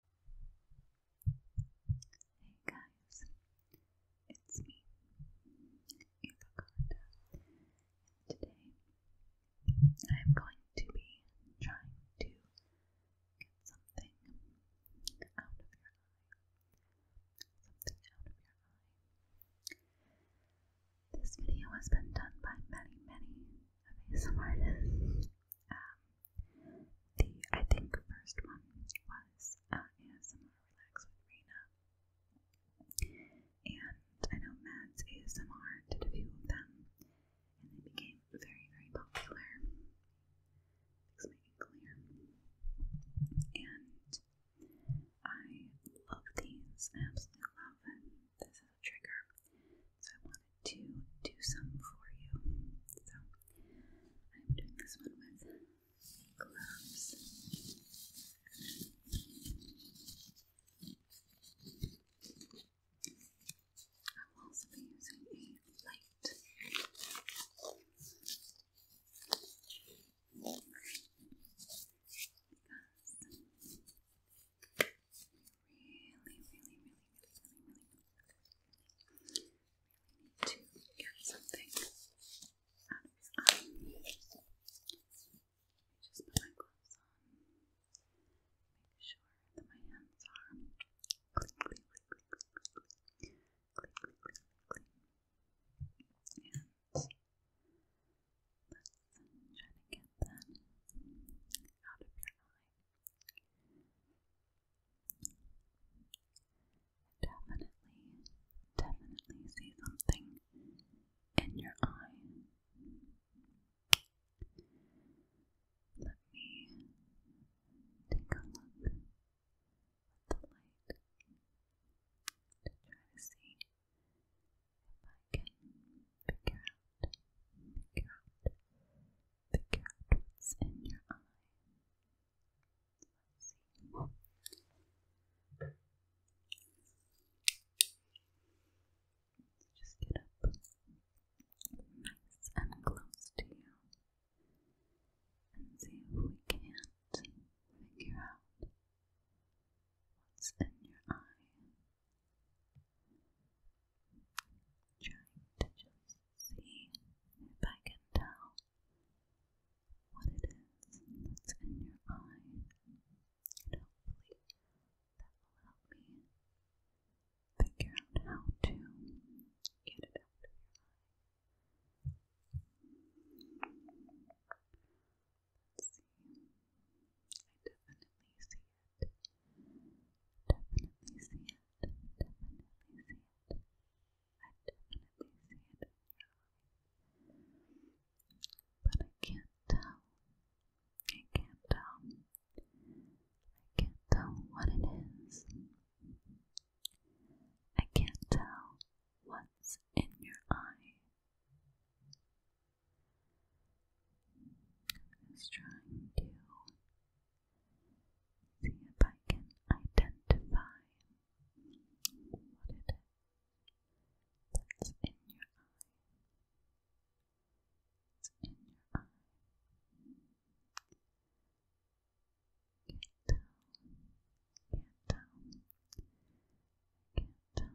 Hey guys, it's me, today I'm going to be trying to get something out of your Something out of your This video has been done by many, many of ASMR artists. Um, the I think first one was uh, ASMR Relax with Rena, and I know Mads ASMR did a few of them, and they became very very popular. Makes me clear, and I love these. I absolutely love this trigger. So I wanted to do some for you. So I'm doing this one with gloves. I will also using a light really, really, really, really, really, really need to get something out of his eye. Just put my gloves on. Make sure that my hands are clean, clean, clean, clean, clean, clean, clean, clean, clean, clean. let's try to get out of your eye. Definitely, definitely see something in your eye. Let me take a look with the light to try to see if I can figure out the cat. What's in your eye? just get up nice and close to you and see if we can't figure out what's in your eye. Trying to just see if I can tell what it is that's in your eye. hopefully that will help me figure out how to get it out I definitely see it. Definitely see it. Definitely see it. I definitely see it But I can't tell. I can't tell. I can't tell what it is. I can't tell what's in your eye is trying to see if I can identify what it is that's in your eye. in your eye. Can't tell. Can't tell.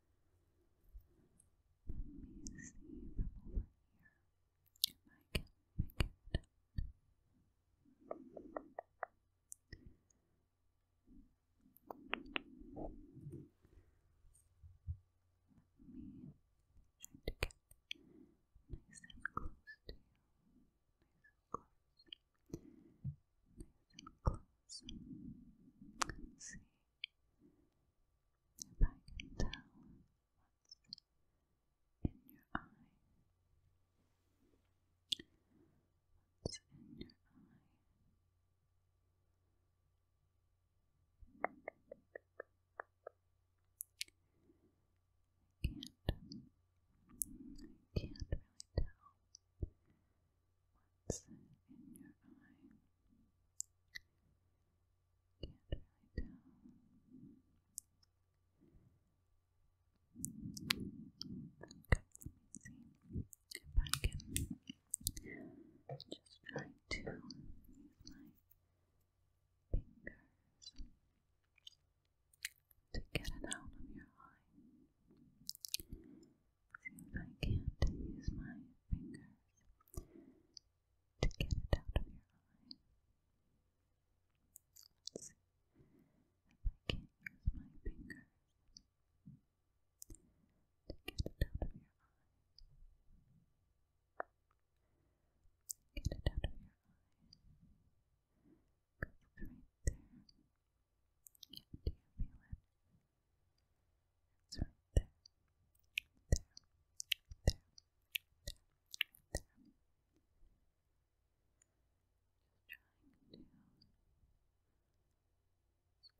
Let me see from over here if I can make it out. to get nice and close to you. Nice and close. Nice and close. Let's see if I can tell what's in your eye, what's in your eye? I can't, I can't really tell what's in your eye. Can't really Okay, see if I can just try to use my fingers to get it out of your eye since I can use my fingers to get it out of your eye. see if I can use my fingers to get it out of your eye. Get it out of your eye. right there. Yeah, do you feel it? It's right there. There. There. There. there. Just gently with my nail.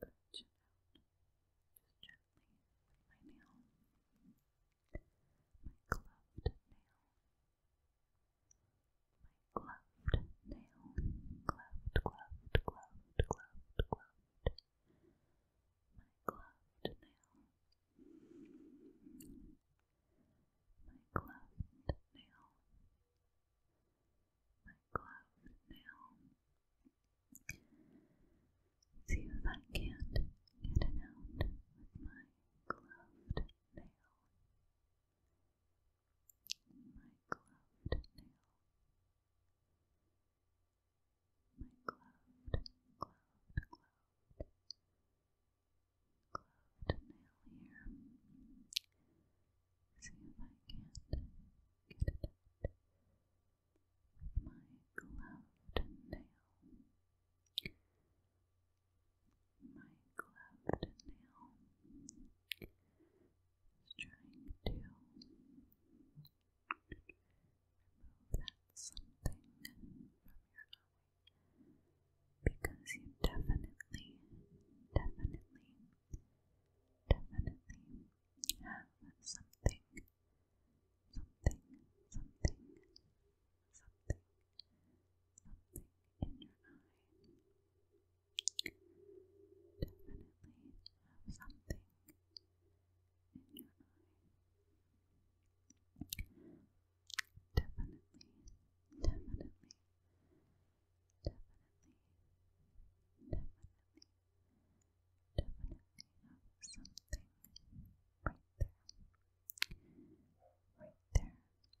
My gloved nail gloved nail, gloved, gloved, gloved, gloved, gloved, my gloved nail, my gloved nail, my gloved nail. See if I can't get it out with my gloved nail my gloved nail, my gloved, gloved, gloved, gloved nail here. See if I can't get it out with my gloved nail. My gloved nail trying to remove that something because you definitely, definitely, definitely have something, something, something, something, something in your eye definitely have something in your eye. Definitely, definitely, definitely, definitely, definitely have something right there. Right there.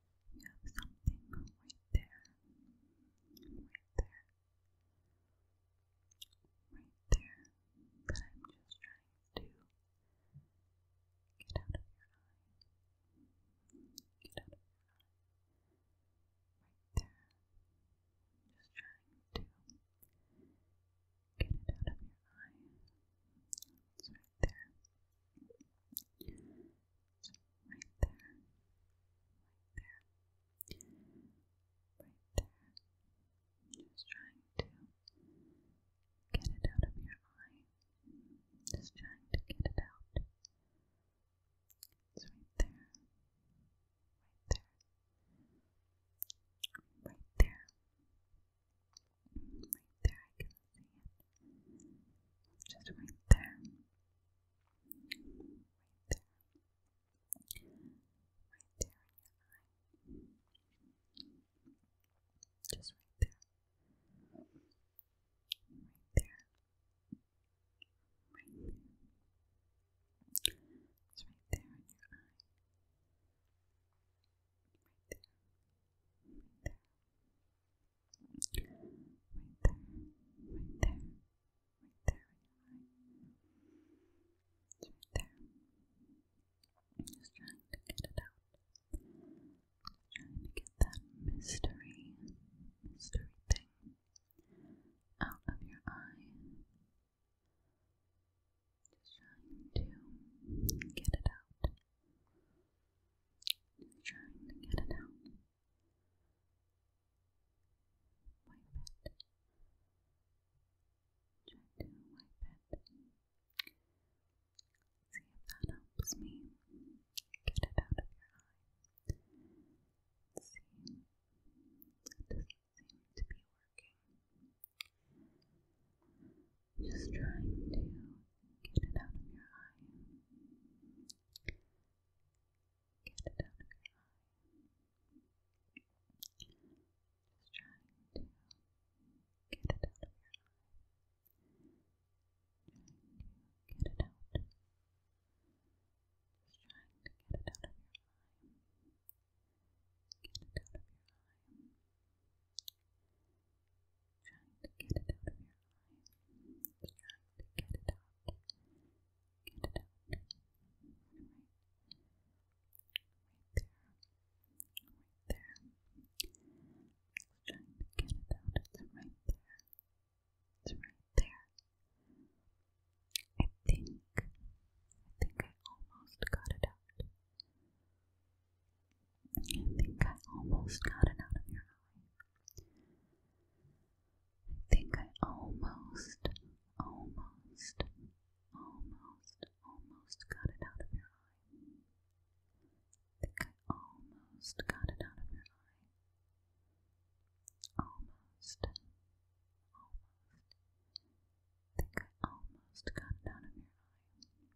You have something right there. Right there. Right there. But I'm just trying to get out of your eye. Get out of your eye. Right there. just trying to get it out of your eye. It's right there right there, there, right there. Just trying to get it out of your eye. Just trying to get it out. It's right there, there, right there, there. Just right there. Right there. Just right there. Right there. Right there. It's right there in your eye. Right there. Right there right there, right there, right there, right there. just trying to get it out. trying to get that mystery, mystery thing out of your eye. Just trying to get it out. Just trying to get it out. Wipe it. Try to wipe it. See if that helps me get it out of your eye. it doesn't seem to be working. Just trying to Get it out of your eye. Get it out of your eye. Just trying to get it out of your eye. get it out. Just trying to get it out of your eye. Get it out of your eye. Trying to get it out of your get it out. Get it out. Right. there. Right there. get it out. It's right there. right there. I think I think I almost got it out. I think I almost got it out of your eye. I think I almost, almost, almost, almost got it out of your eye. I think I almost got it out of your eye. Almost, I think I almost got it out of your eye.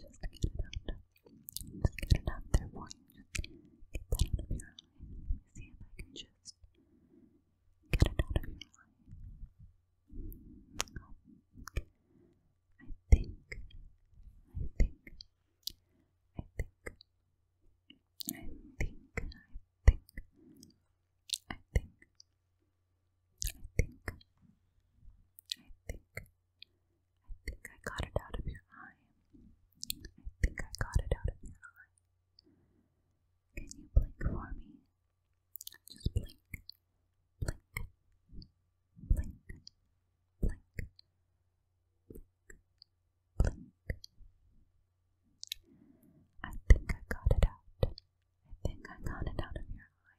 Just get it out. Just get it out there for you. Just get that out of your eye. See if I can just get it out of your eye. I think, I think, I think, I think, I think, I think, I think, I think. I think I think I got it out of your eye. I think I got it out of your eye. Can you blink for me? Just blink, blink, blink, blink, blink, blink. I think I got it out. I think I got it out of your eye.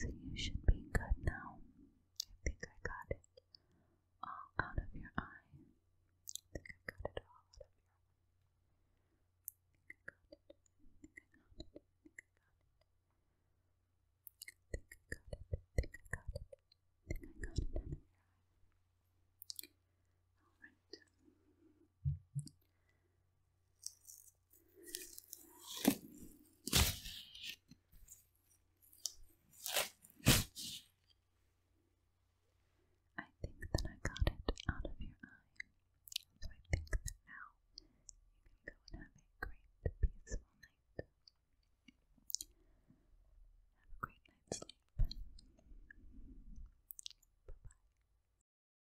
So you should be good now. I think I got it all out of your eye. think I got it all out of your eye. Alright. I think that I got it out of your eye, so I think that now you can go and have a great, peaceful night. Have a great night's sleep. Bye bye.